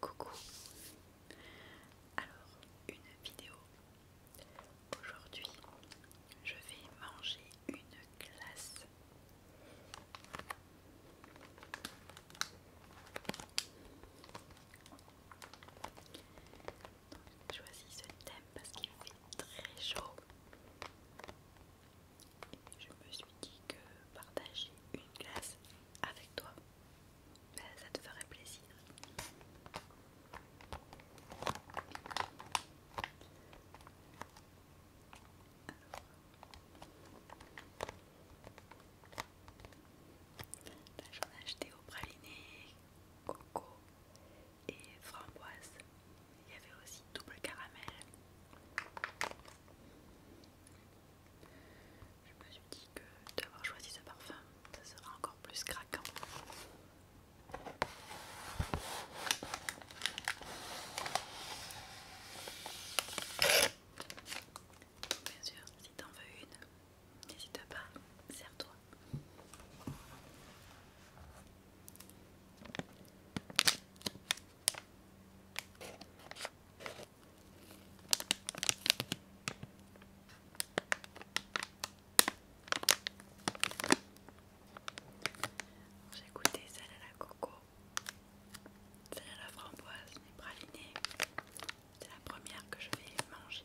Coucou Alors, une vidéo. Aujourd'hui, je vais manger une glace. Je choisis ce thème parce qu'il fait très chaud je me suis dit que partager une glace avec toi, ben, ça te ferait plaisir. Ben, j'en ai acheté au praliné, coco et framboise. Il y avait aussi double caramel. Je me suis dit que d'avoir choisi ce parfum, ça sera encore plus craquant. Bien sûr, si t'en veux une, n'hésite pas, serre-toi. J'ai goûté celle à la coco, celle à la framboise, les C'est la première que je vais manger.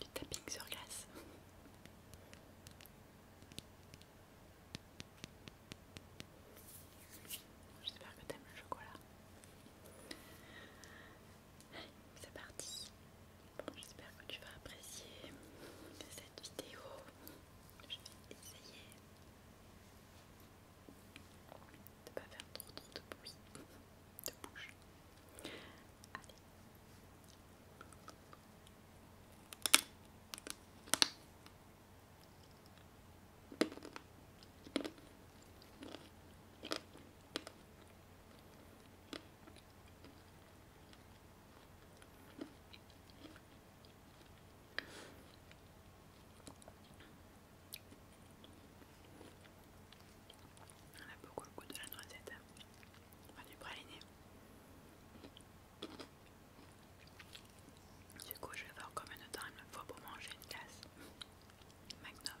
Du tapping sur glace. J'espère que t'aimes le chocolat. C'est parti. Bon, j'espère que tu vas apprécier cette vidéo. Je vais essayer de ne pas faire trop trop de bruit de bouche. Allez. On a beaucoup le goût de la noisette, hein. va du praliné. Du coup, je vais voir combien de temps il me faut pour manger une glace. Magnum.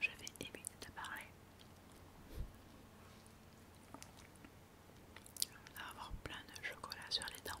Je vais éviter de parler. On va avoir plein de chocolat sur les dents.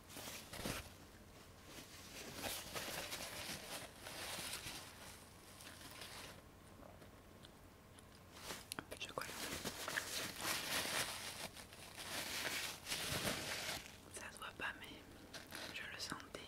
Ça se voit pas, mais je le sentais.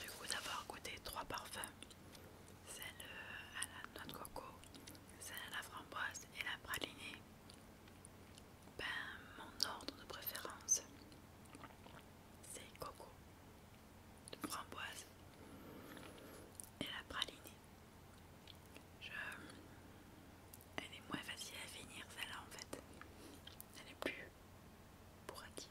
Du coup d'avoir goûté trois parfums, celle euh, à la noix de coco, celle à la framboise et la pralinée, ben mon ordre de préférence c'est coco de framboise et la pralinée. Je... Elle est moins facile à finir celle-là en fait. Elle est plus bourrative.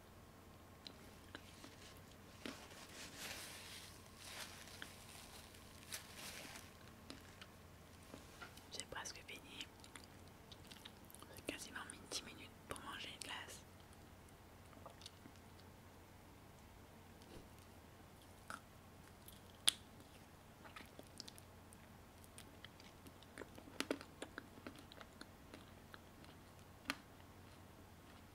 J'ai presque fini. J'ai quasiment mis 10 minutes pour manger une glace.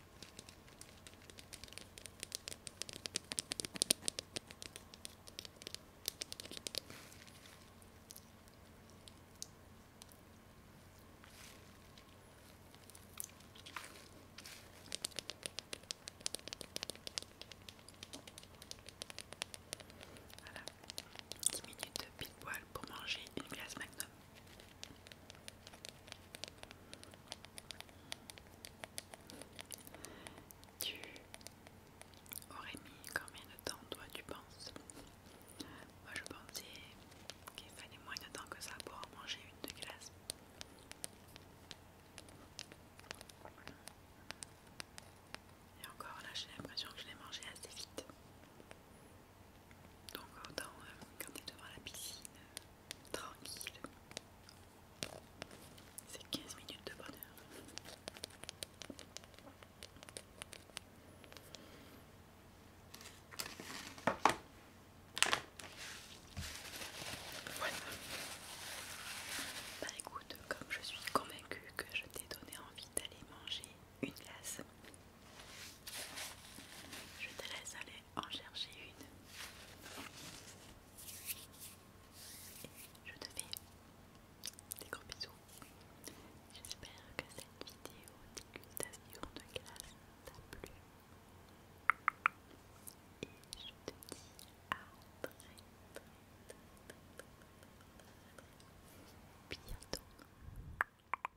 Voilà, 10 minutes pile poil pour manger une glace McDo. Tu aurais mis combien de temps toi tu penses Moi je pensais qu'il fallait moins de temps que ça pour en manger une de glace. Et encore là j'ai l'impression que je l'ai mangé assez vite. Donc autant euh, quand devant la piscine, euh, tranquille, c'est 15 minutes de bonheur. Voilà. Bah écoute, comme je suis convaincue que je t'ai donné envie d'aller manger une glace, je te laisse aller en chercher une. Je te fais des gros bisous. J'espère que cette vidéo de t'a plu. Et je te dis à très très très très bientôt.